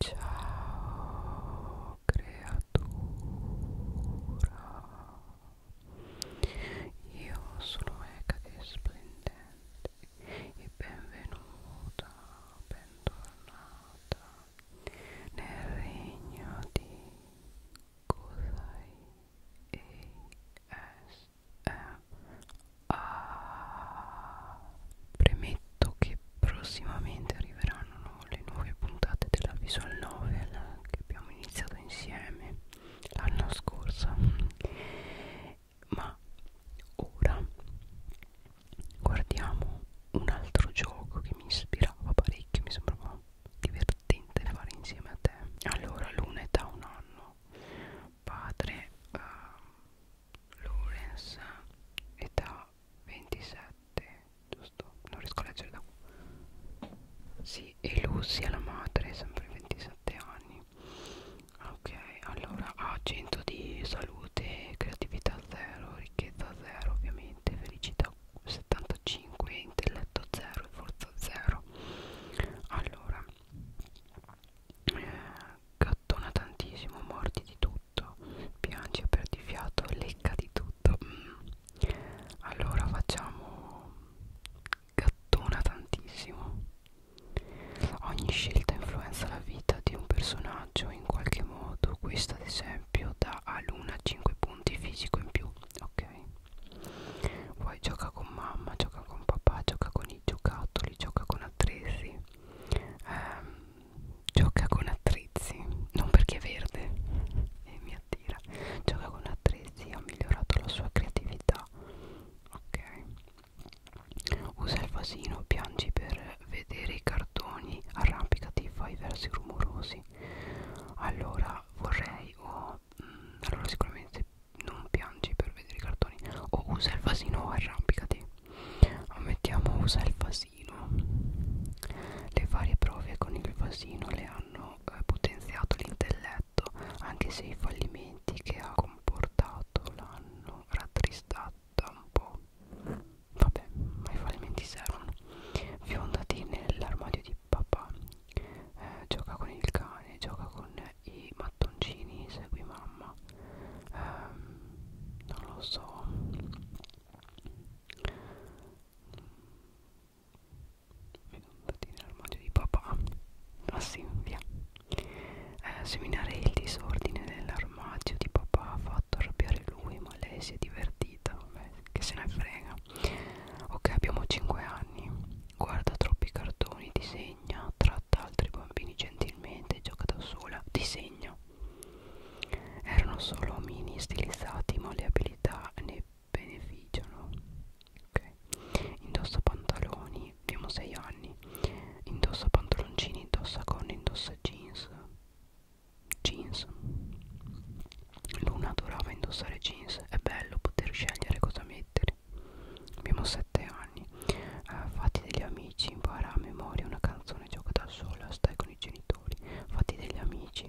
Ciao creatura, io sono Ecade Splendente e benvenuta, bentornata nel regno di Kusai ASMR. Premette detto che prossimamente arriveranno no, le nuove puntate della visual novel che abbiamo iniziato insieme l'anno scorso ma ora guardiamo un altro gioco che mi ispirava parecchio mi sembrava divertente fare insieme a te allora l'una è da un anno padre uh, Lawrence è da 27 giusto non riesco a leggere da qua sì e Lucy è la madre sempre 27 anni ok allora ha ah, 100 di salute creatività 0 ricchezza 0 ovviamente felicità 75 intelletto 0 e forza 0 allora eh, gattona tantissimo morti di tutto tutto piangi a perdi fiato lecca di tutto mm. allora facciamo gattona tantissimo ogni scelta influenza la vita di un personaggio in qualche modo questa ad esempio dà a luna 5 punti fisico in più ok poi gioca con mamma gioca con papà gioca con i giocattoli gioca con attrezzi ehm, gioca con attrezzi, non perché è verde e mi attira, gioca con attrezzi, ha migliorato la sua creatività, ok, usa il vasino, piangi per vedere i cartoni, arrampicati, fai versi rumorosi, allora vorrei o mh, mm, allora sicuramente non piangi per vedere i cartoni o usa il vasino o arrampicati mettiamo usa il vasino vasino le varie prove con il vasino le hanno eh, potenziato l'intelletto anche se i fallimenti che ha comportato l'hanno rattristata un po' vabbè ma i fallimenti servono fiondati nell'armadio di papà eh, gioca con il cane gioca con i mattoncini segui mamma ehm, non lo so vedo un patino nell'armadio di papà ma ah, sì, via eh, seminare il disordine nell'armadio di papà ha fatto arrabbiare lui ma lei si è divertita Vabbè, che se ne frega ok abbiamo 5 anni guarda troppi cartoni disegna tratta altri bambini gentilmente gioca da sola disegna erano solo omini stilizzati, ma le abilità ne beneficiano. Ok. Indossa pantaloni, abbiamo 6 anni. Indossa pantaloncini, indossa gonne, indossa jeans. Jeans. Luna adorava indossare jeans, è bello poter scegliere cosa mettere. Abbiamo 7 anni. Uh, fatti degli amici, impara a memoria una canzone balcone, gioca da sola, stai con i genitori, fatti degli amici.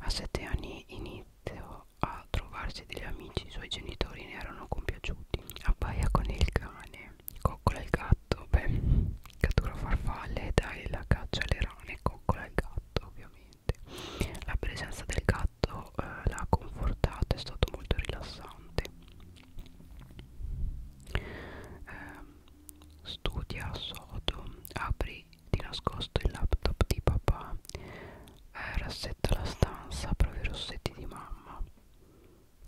A sette anni inizio a trovarsi degli amici, i suoi genitori ne erano compiaciuti. Appaia con il cane, coccola il gatto, beh, cattura farfalle, dai la caccia alle rane, coccola il gatto ovviamente. La presenza del gatto eh, l'ha confortata, è stato molto rilassante. Eh, studia a sodo, apri di nascosto il laptop di papà, eh, rassetta la stanza, provi i rossetti di mamma,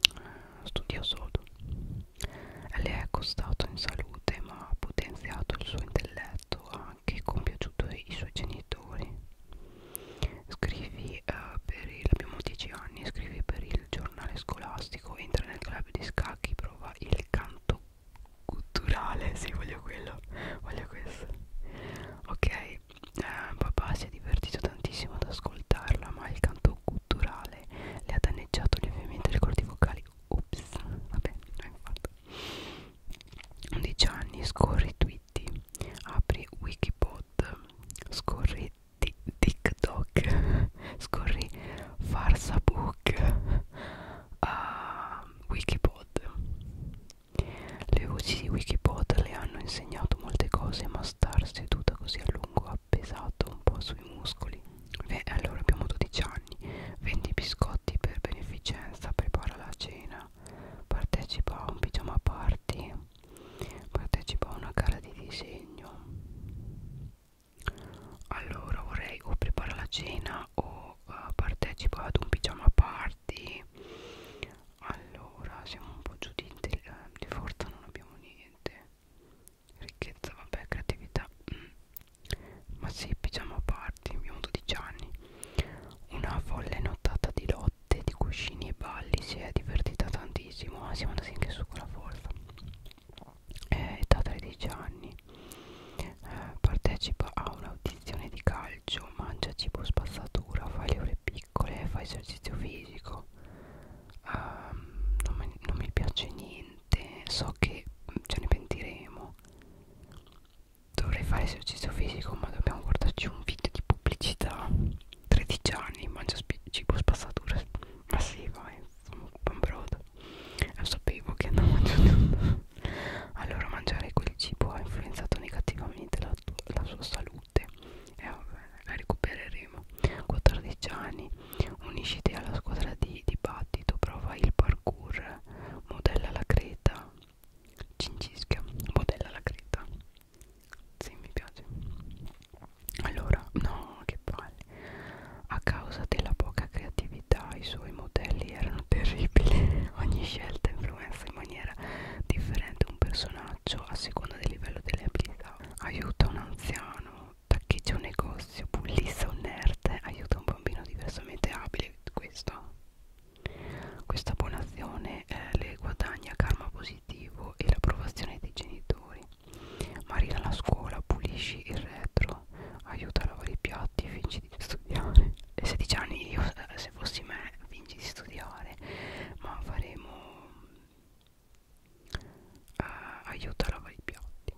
eh, studia a sodo. Le è costato in salute ma ha potenziato il suo intelletto, ha anche compiaciuto i suoi genitori. Scrivi eh, per il, abbiamo 10 anni, scrivi per il giornale scolastico, entra nel club di scacchi prova il canto culturale sì voglio quello voglio questo ok eh, papà si è divertito tantissimo ad ascoltarla ma il canto culturale le ha danneggiato lievemente le corti vocali ops vabbè non fatto 11 anni scorri twitti apri wikipod scorri di TikTok, scorri Farsabook, uh, Wikipod. Le voci di Wikipod le hanno insegnato molte cose, ma star seduta così a lungo ha pesato un po' sui muscoli. Beh, allora abbiamo 12 anni, vendi biscotti per beneficenza, prepara la cena, partecipa a un pigiama party, partecipa a una gara di disegno allora vorrei o preparare la cena o uh, partecipo ad un pigiama party allora siamo un po' giù di, eh, di forza non abbiamo niente ricchezza vabbè creatività mm. ma sì pigiama party abbiamo 12 anni una folle nottata di lotte di cuscini e balli si è divertita tantissimo ah siamo andati anche su con la folla eh, età 13 anni eh, partecipa a un'audizione di calcio mangia cibo spazzatura fa le ore piccole fa esercizio fisico um, non, mi, non mi piace niente so che mm, ce ne pentiremo dovrei fare esercizio fisico ma dobbiamo guardarci un video di pubblicità 13 anni mangia cibo spazzatura ma sì vai pan brodo lo sapevo che andavo mangiando allora mangiare quel cibo ha influenzato negativamente la, la sua salute e eh, la recupereremo 14 anni unisciti alla squadra di dibattito prova il parkour modella la creta cincischia modella la creta sì mi piace allora, no, che palle. A causa della poca creatività i suoi modelli erano terribili. Ogni scelta influenza in maniera differente un personaggio a seconda del livello delle abilità. Aiuta un anziano, taccheggia un negozio, bullissa un nerd, aiuta un bambino diversamente abile. Questo. Questa buona azione eh, le guadagna karma positivo e l'approvazione dei genitori. Maria alla scuola, pulisci il retro, aiuta a lavare i piatti, fingi di studiare. E 16 anni io, eh, se fossi me, fingi di studiare, ma faremo uh, aiuta a lavare i piatti.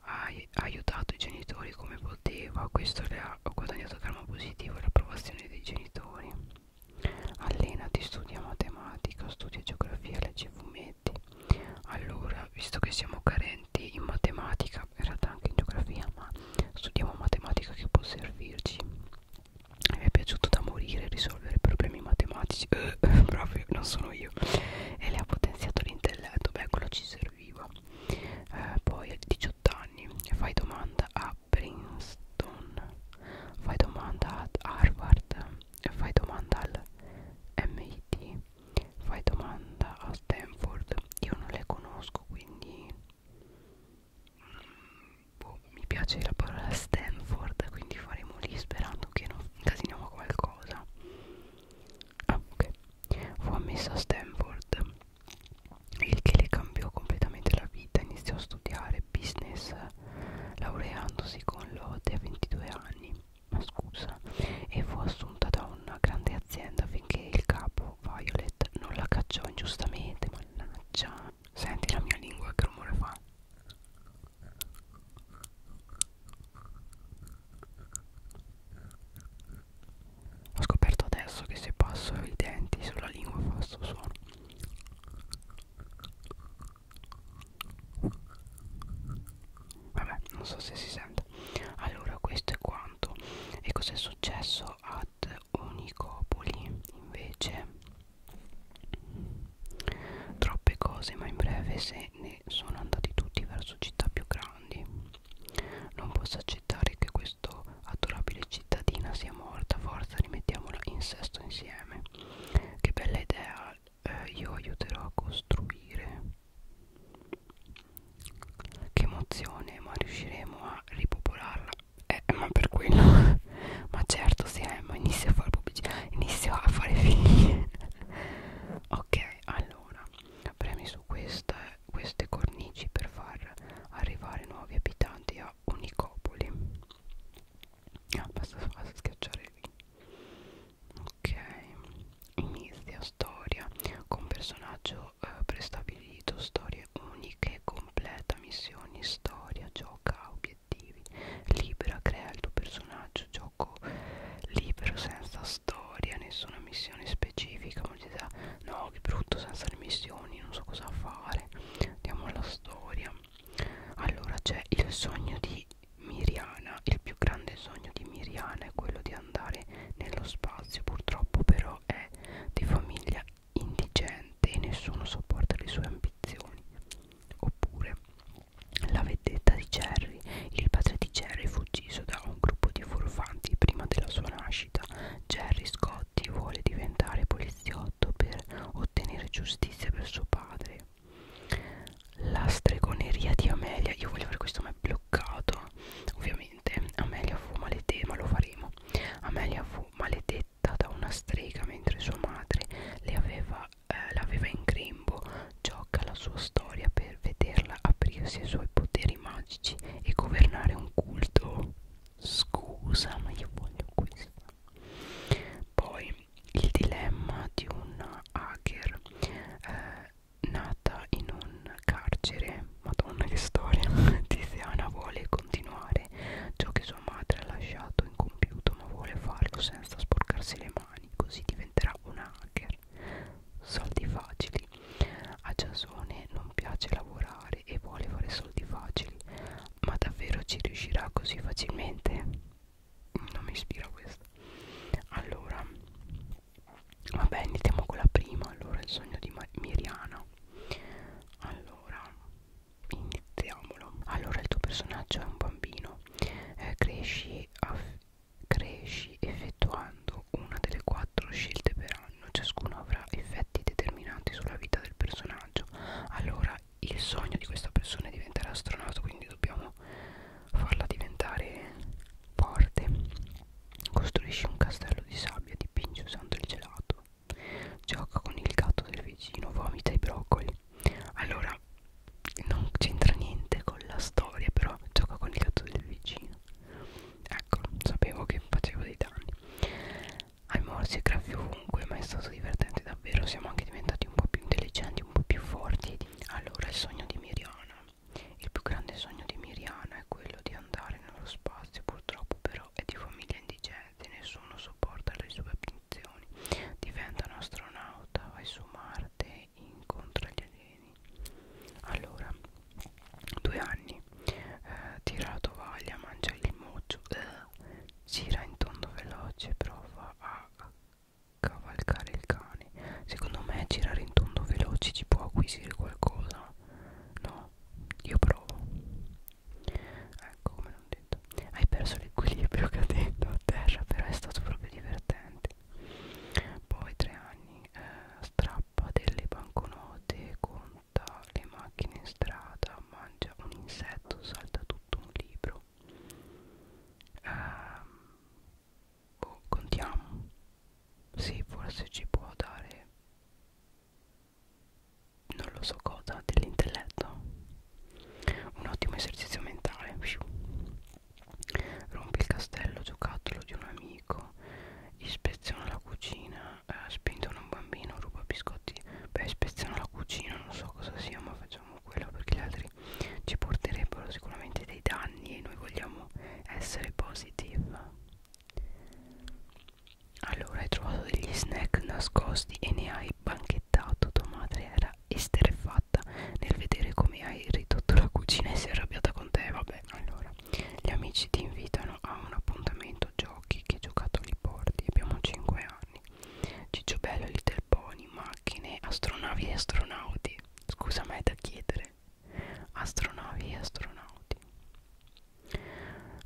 Ha aiutato i genitori come poteva, questo le ha guadagnato karma positivo e l'approvazione dei genitori. Allenati, studia matematica, studia geografia, legge fumetti netti allora visto che siamo carenti in matematica in realtà anche in geografia ma studiamo matematica che può servirci mi è piaciuto da morire risolvere problemi matematici eh, proprio non sono io e le ha potenziato l'intelletto beh quello ci serviva eh, poi a 18 anni fai domanda a Princeton fai domanda ad Harvard fai domanda al MIT, fai domanda a Stanford, io non le conosco quindi mm, boh, mi piace la parola Stanford, quindi faremo lì sperando che non incasiniamo qualcosa. Ah, ok, fu ammessa a Stanford, il che le cambiò completamente la vita, iniziò a studiare business laureandosi con lode a 22 anni anni, ma scusa, e fu assunta da una grande azienda finché il capo, Violet, non la cacciò ingiustamente, mannaggia. Senti la mia lingua che rumore fa. Ho scoperto adesso che se passo i denti sulla lingua fa questo suono Vabbè, non so se si sente. Allora, questo è quanto. E cos'è successo ad Unicopoli? Invece, troppe cose, ma in breve se ne sono andati tutti verso città più grandi. Non posso accettare che questo adorabile cittadina sia morta, forza rimettiamola in sesto insieme. Che bella idea eh, io aiuterò a costruire che emozione ma riusciremo a ripopolarla eh ma per quello ma certo se sì, eh, ma inizio a fare pubblicità inizio a fare figli ok allora premi su questa, queste cornici per far arrivare nuovi abitanti a Unicopoli ah, basta, basta schiacciare lì ok inizia storia con personaggio eh, prestabilito storie uniche completa missioni storia gioca obiettivi libera crea il tuo personaggio gioco libero senza storia nessuna missione specifica ma ti dà no che brutto senza le missioni non so cosa fare andiamo alla storia allora c'è il sogno di Miriana, il più grande sogno di Miriana è quello di andare nello spazio, purtroppo però è di famiglia indigente e nessuno sopporta le sue ambizioni. Oppure la vedetta di Jerry, il padre di Jerry fu ucciso da un gruppo di furfanti prima della sua nascita. Jerry Scotti vuole diventare poliziotto per ottenere giustizia per suo padre. La stregoneria di Amelia. Io voglio fare questo, ma è bloccato. Ovviamente, Amelia fu maledetta, ma lo faremo. Amelia fu maledetta da una strega mentre sua madre l'aveva eh, in grembo. Gioca la sua storia per vederla aprirsi ai suoi poteri magici e governare un culto. Scusa, ma io voglio questo. Poi il dilemma di una hacker eh, nata in un carcere madonna che storia Tiziana vuole continuare ciò che sua madre ha lasciato incompiuto ma vuole farlo senza sporcarsi le mani così diventerà una hacker soldi facili a Giasone non piace lavorare e vuole fare soldi facili ma davvero ci riuscirà così facilmente? non mi ispira questa allora vabbè iniziamo con la prima allora il sogno di Miriana allora iniziamolo allora il tuo personaggio è un bambino eh, cresci, cresci effettuando una delle quattro scelte per anno ciascuno avrà effetti determinanti sulla vita del personaggio allora il sogno di questa persona è diventare astronauta quindi dobbiamo farla diventare forte costruisci un castello di sabbia dipingi usando il gelato gioca con il gatto del vicino vomita i broccoli allora non c'entra niente con la storia però gioca con il gatto del vicino ecco sapevo che facevo dei danni hai morsi e graffi ovunque ma è stato divertente davvero siamo anche diventati un po' più intelligenti un po' più forti ed allora il sogno di Miriana. Il più grande sogno di Miriana è quello di andare nello spazio, purtroppo però è di famiglia indigente, nessuno sopporta le sue ambizioni. Diventa un astronauta, vai su Marte, incontra gli alieni. Allora, due anni, eh, tira la tovaglia, mangia il moggio, eh, gira in tondo veloce, prova a cavalcare il cane secondo me girare in tondo veloci ci può acquisire qualcosa no io provo ecco come non detto hai perso l'equilibrio cadendo a terra però è stato proprio divertente poi tre anni eh, strappa delle banconote conta le macchine in strada mangia un insetto salta tutto un libro credo ehm, boh, contiamo sì forse ci può dare non lo so cosa dell'intelletto un ottimo esercizio mentale rompi il castello giocattolo di un amico ispeziona la cucina eh, spintono un bambino ruba biscotti beh ispeziona la cucina non so cosa sia ma facciamo quello perché gli altri ci porterebbero sicuramente dei danni e noi vogliamo essere positive allora hai trovato degli snack nascosti e ne hai banchettato tua madre era esterrefatta nel vedere come hai ridotto la cucina e si è arrabbiata con te vabbè allora gli amici ti invitano a un appuntamento giochi che giocattoli porti abbiamo 5 anni Ciccio Bello e Little pony, boh, macchine, astronavi e astronauti. Scusa, ma è da chiedere. Astronavi e astronauti.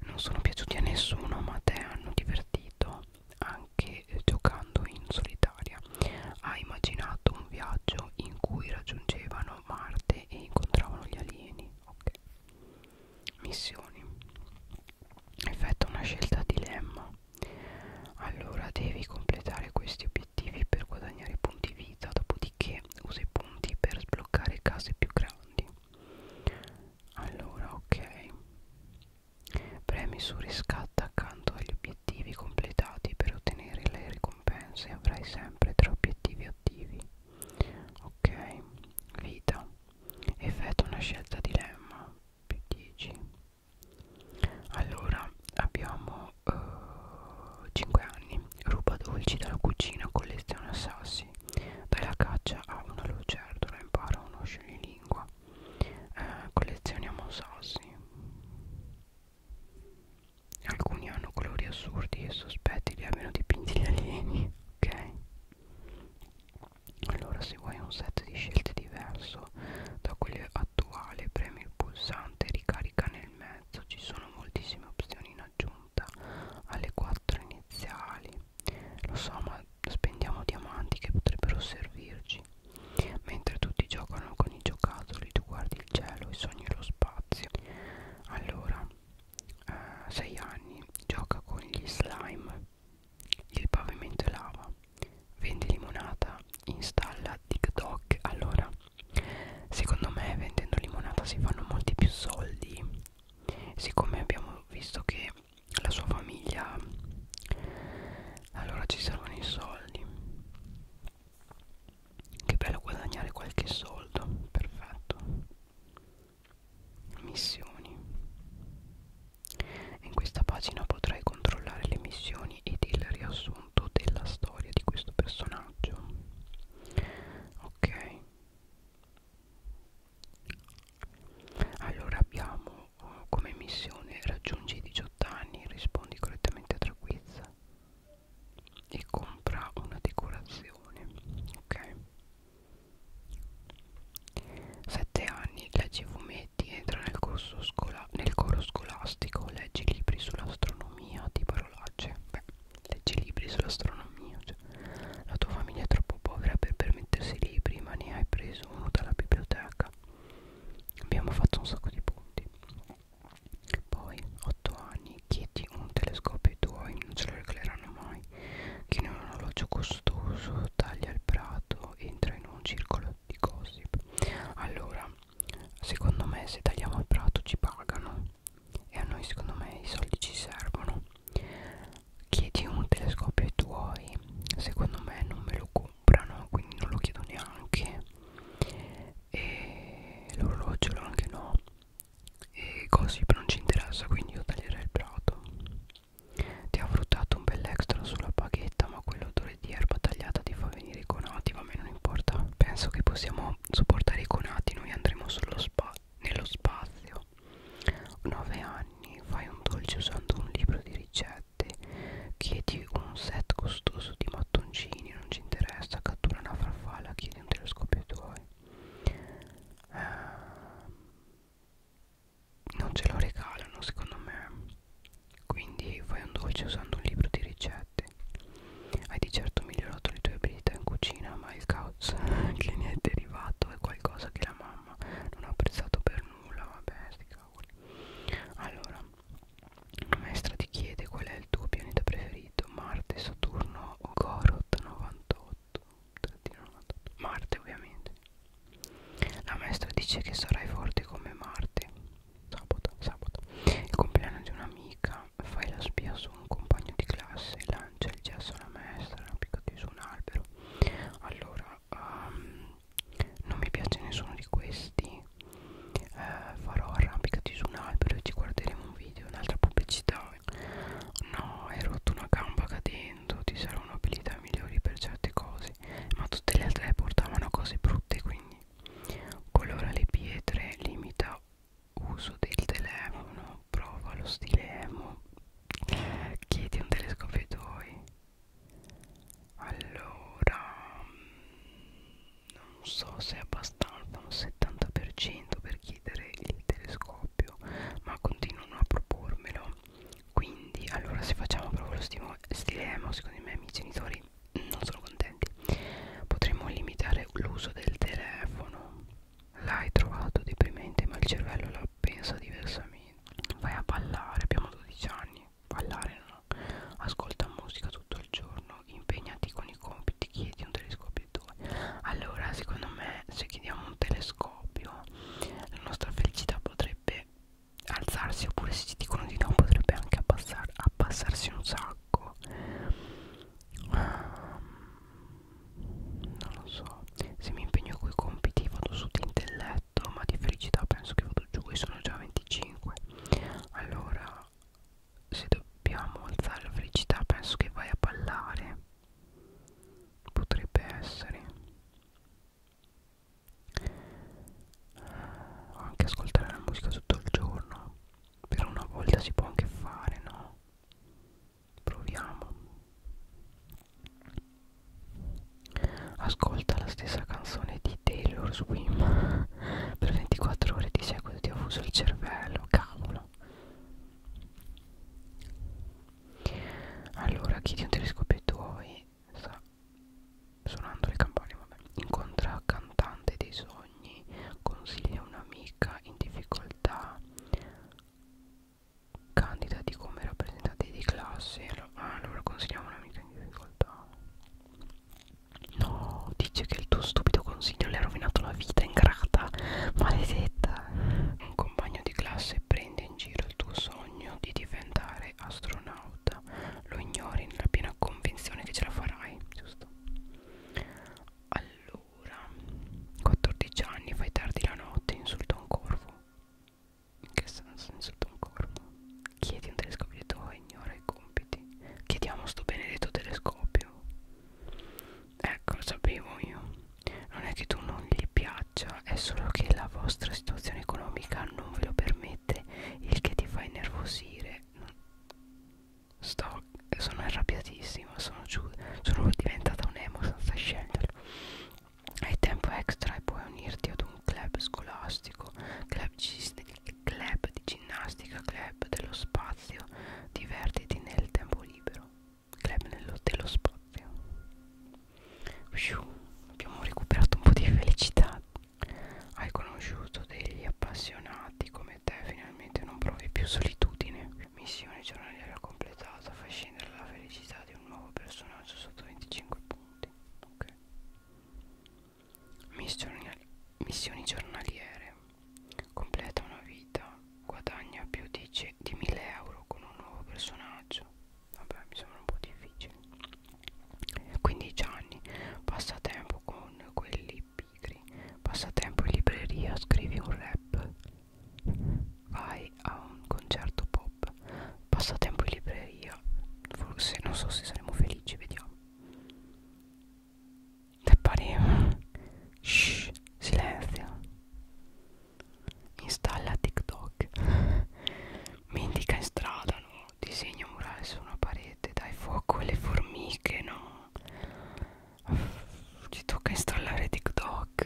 Non sono piaciuti a nessuno, ma a te hanno divertito anche giocando in solitaria. Ha immaginato un viaggio in cui raggiungevano Marte e incontravano gli alieni. Ok. Missioni. Effetto una scelta dilemma allora devi completare questi obiettivi per guadagnare punti vita dopodiché usa i punti per sbloccare case più grandi allora ok premi su riscatta accanto agli obiettivi completati per ottenere le ricompense avrai sempre tre obiettivi attivi ok vita effettua una scelta dilemma più 10 allora abbiamo uh, eh, 5 anni ruba dolci dalla cucina colleziona sassi dai la caccia a una lucertola impara uno scenilingua eh, collezioniamo sassi alcuni hanno colori assurdi e sospetti li abbiano dipinti gli alieni ok allora se vuoi un set di scelte diverso diverso da quello attuale premi il pulsante ricarica nel mezzo ci sono moltissime opzioni in aggiunta alle 4 iniziali lo so ma spendiamo diamanti che potrebbero servirci mentre tutti giocano con i giocattoli tu guardi il cielo e sogni lo spazio allora 6 eh, anni gioca con gli slime il pavimento è lava Vendi limonata, installa TikTok. Allora, secondo me vendendo limonata si fanno molti più soldi. Siccome abbiamo visto che la sua famiglia allora ci servono i soldi. Che bello guadagnare qualche soldo, perfetto. Missioni. In questa pagina potrai controllare le missioni emozioni ed il riassunto della storia di questo personaggio ok allora abbiamo uh, come missione raggiungi i 18 anni rispondi correttamente a tre quiz e compra una decorazione ok 7 anni leggi fumetti Benedetti entra nel, corso scola nel coro scolastico, legge libri sull'astronomia di parolacce. Beh, legge libri sull'astronomia. Cioè, la tua famiglia è troppo povera per permettersi libri, ma ne hai preso uno dalla biblioteca. Abbiamo fatto un sacco di punti. Poi, 8 anni, chiedi un telescopio ai tuoi, non ce lo regaleranno mai. Chi ne ha un orologio costoso, taglia il prato, entra in un circolo di gossip allora secondo me se tagliamo il prato ci pagano e a noi secondo me i soldi ci servono chiedi un telescopio ai tuoi secondo me non me lo comprano quindi non lo chiedo neanche e l'orologio anche no e gossip non ci interessa quindi io taglierei il prato ti ha fruttato un bel extra sulla paghetta ma quello sapore di erba tagliata ti fa venire i conati, ma a me non importa. Penso che possiamo sopportare i conati, noi andremo solo spa nello spazio. 9 anni, fai un dolce usando un libro di ricette, chiedi un set costoso di mattoncini, non ci interessa, cattura una farfalla, chiedi un telescopio tuoi. Eh, non ce lo regalano secondo me quindi fai un dolce usando un libro di ricette. Hai di certo migliorato le tue abilità in cucina, ma il caos che ne è derivato è qualcosa che la mamma non ha apprezzato per nulla. Vabbè, sti cavoli. Allora, la maestra ti chiede qual è il tuo pianeta preferito, Marte, Saturno o Gorot 98. 98. Marte ovviamente. La maestra dice che sarai forte come Marte sabato, sabato il compleanno di un'amica fai la spia su un compagno di classe lancia il gesso alla maestra piccati su un albero allora um, non mi piace nessuno di questi eh, farò arrampicati su un albero e ci guarderemo un video un'altra pubblicità no hai rotto una gamba cadendo ti saranno abilità migliori per certe cose ma tutte le altre portavano cose brutte quindi colora le pietre limita uso del telefono prova lo stile emo chiedi un telescopio ai tuoi allora non so se è abbastanza un 70% per chiedere il telescopio ma continuano a propormelo quindi allora se facciamo proprio lo stile emo secondo i miei amici genitori non sono contenti potremmo limitare l'uso del telefono l'hai trovato deprimente ma il cervello la pensa diversamente vai a ballare abbiamo 12 anni ballare no ascolta musica tutto il giorno impegnati con i compiti chiedi un telescopio e due allora secondo me se chiediamo un telescopio la nostra felicità potrebbe alzarsi oppure se ci dicono di no potrebbe anche abbassar, abbassarsi un sacco ehm, non lo so se mi impegno coi compiti vado su di intelletto ma di felicità penso che vado giù e sono già 25 allora se dobbiamo alzare la felicità penso che vai a ballare potrebbe essere o anche ascoltare la musica tutto il giorno per una volta si può anche fare no proviamo ascolta la stessa canzone di Taylor Swim per 24 ore di seguito ti ho fuso il cervello cavolo allora chiedi un telescopio ai tuoi sta suonando le campane vabbè. incontra cantante dei sogni consiglia un'amica in difficoltà candidati come rappresentanti di classe allora, ah, allora consigliamo un'amica in difficoltà no dice che il tuo stupido consiglio le ha rovinato la vita ingrata maledetta un compagno di classe prende in giro il tuo sogno di diventare astronauta astronauta lo ignori nella piena convinzione che ce la farai, giusto? Allora, 14 anni, fai tardi la notte, insulta un corvo. In che senso insulta un corvo? Chiedi un telescopio di Toho e ignora i compiti. Chiediamo sto benedetto telescopio. Ecco, lo sapevo io. Non è che tu non gli piaccia, è solo che la vostra situazione economica non ve lo permette, il che ti fa innervosire sto, sono arrabbiatissima, sono, giù, sono diventata un emo senza scegliere. Hai tempo extra e puoi unirti ad un club scolastico, club, club di ginnastica, club dello spazio, divertiti nel tempo libero, club nello, dello spazio. Abbiamo recuperato un po' di felicità hai conosciuto degli appassionati come te, finalmente non provi più solitudine. Missione giornaliera completata, fai scendere la felicità di un nuovo personaggio sotto 25 punti. Ok. Missioni, missioni giornaliere. Completa una vita, guadagna più di, di 1000 euro con un nuovo personaggio. Vabbè, mi sembra un po' difficile. 15 anni passatempo con quelli pigri passatempo in libreria scrivi un rap vai a un concerto pop passatempo in libreria forse non so se saremo felici vediamo te pareva shh silenzio installa tiktok mi indica in strada no disegno murale su una parete dai fuoco le formiche no ci tocca installare tiktok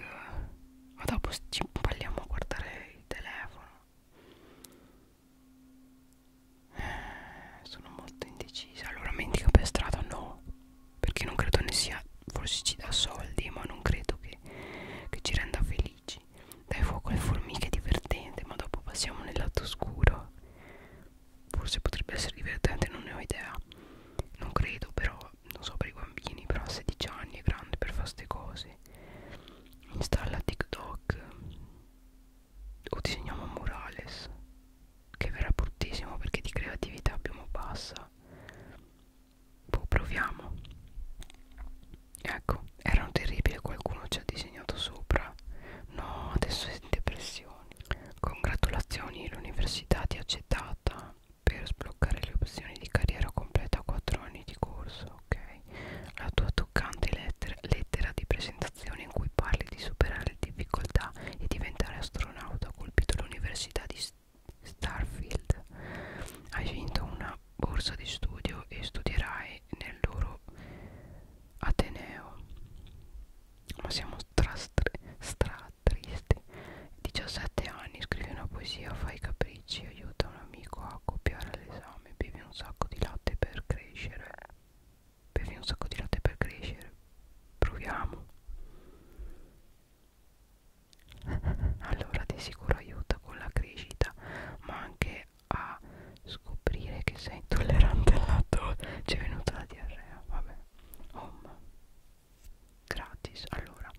ma dopo ci impalliamo a guardare il telefono eh, sono molto indecisa allora mendica per strada no perché non credo ne sia forse ci dà soldi ma non credo che, che ci renda felici dai fuoco le formiche è divertente ma dopo passiamo nel lato scuro forse potrebbe essere divertente non ne ho idea non credo però non so per i bambini però a 16 anni è grande per fare queste cose installa tiktok o disegniamo Morales che verrà bruttissimo perché di creatività abbiamo bassa boh proviamo ecco erano terribili qualcuno ci ha disegnato sopra No, adesso è in depressione. Congratulazioni, l'università ti ha accettata per sbloccare le opzioni di carriera completa a 4 anni di corso, ok? La tua toccante lettera, lettera di presentazione in cui parli di superare le difficoltà e diventare astronauta ha colpito l'università di Starfield. Hai vinto una borsa di studio e studierai e nel loro Ateneo. Ma siamo stra, stra, stra tristi. 17 anni, scrivi una poesia, fai capricci, aiuta un amico a copiare l'esame, bevi un sacco di latte per crescere. Bevi un sacco di latte per crescere. Proviamo. Allora, di sicuro aiuta con la crescita, ma anche a scoprire che sei intollerante al lattosio c'è venuta la diarrea vabbè home gratis allora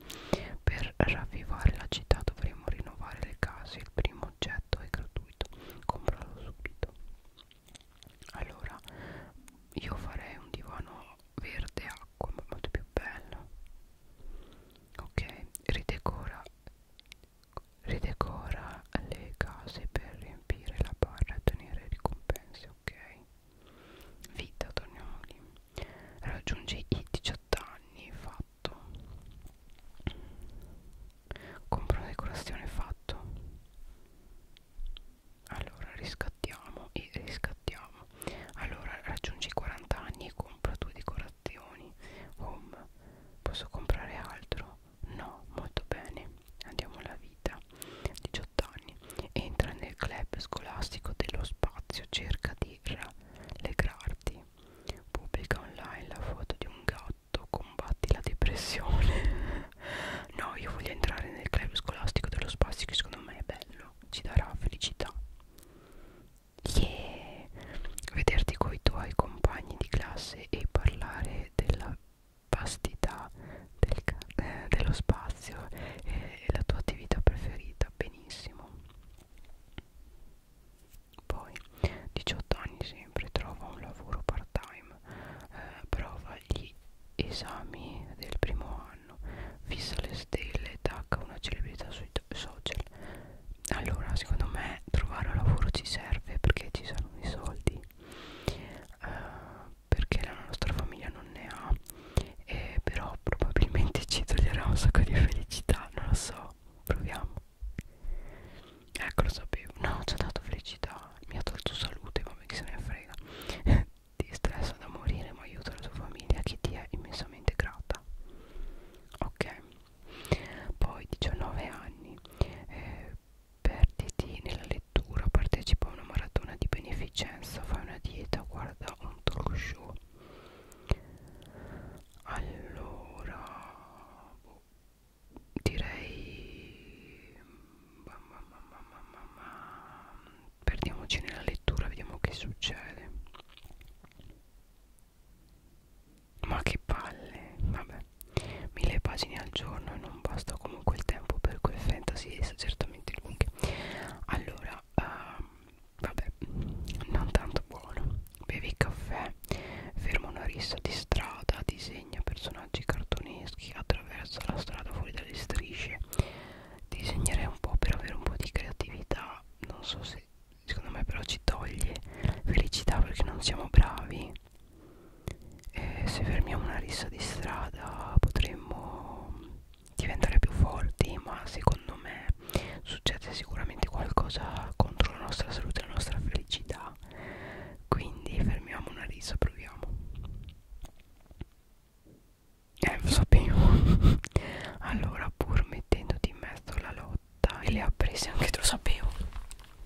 per ravvivare la città dovremo rinnovare le case il primo oggetto è gratuito compralo subito allora io farei un divano verde acqua molto più bello ok ridecora ridecora le case per riempire la barra e ottenere ricompense ok vita torniamoli raggiungi i 18 anni fatto compra una decorazione fatto allora riscattiamo e riscattiamo allora raggiungi i 40 anni e compra due decorazioni home posso comprare altro No, molto bene, andiamo alla vita. 18 anni. Entra nel club scolastico dello spazio, cerca di rallegrarti. Pubblica online la foto di un gatto, combatti la depressione. no, io voglio entrare nel club scolastico dello spazio che secondo me è bello, ci darà felicità. Yeah! Vederti coi tuoi compagni di classe e parlare della vastità del eh, dello spazio e, e la tua attività preferita, benissimo. Poi, 18 anni sempre, trova un lavoro part-time, eh, prova gli esami del primo anno, fissa le stelle e tacca una celebrità sui social. Allora, secondo me trovare un lavoro ci serve perché ci saranno i soldi eh, perché la nostra famiglia non ne ha eh, però probabilmente ci toglierà un sacco di felicità non lo so proviamo ecco lo sapevo no ci ha dato felicità mi ha tolto salute vabbè che se ne frega ti stressa da morire ma aiuta la tua famiglia che ti è immensamente grata ok poi 19 anni eh, Perditi nella lettura, partecipa a una maratona di beneficenza, fai una dieta, guarda un talk show. Allora, boh, direi ma, ma, ma, ma, ma, ma, ma. perdiamoci nella lettura, vediamo che succede ma che palle vabbè mille pagine al giorno e non basta comunque il tempo per quel fantasy certamente lunghe allora uh, vabbè non tanto buono bevi caffè ferma una rissa di strada disegna personaggi cartoneschi attraversa la strada fuori dalle strisce disegnerei un po' per avere un po' di creatività non so se secondo me però ci toglie felicità perché non siamo bravi e se fermiamo una rissa di strada potremmo diventare più forti ma secondo me succede sicuramente qualcosa contro la nostra salute la nostra felicità quindi fermiamo una rissa proviamo eh lo sapevo allora pur mettendoti in mezzo alla lotta e le ha prese anche tu lo sapevo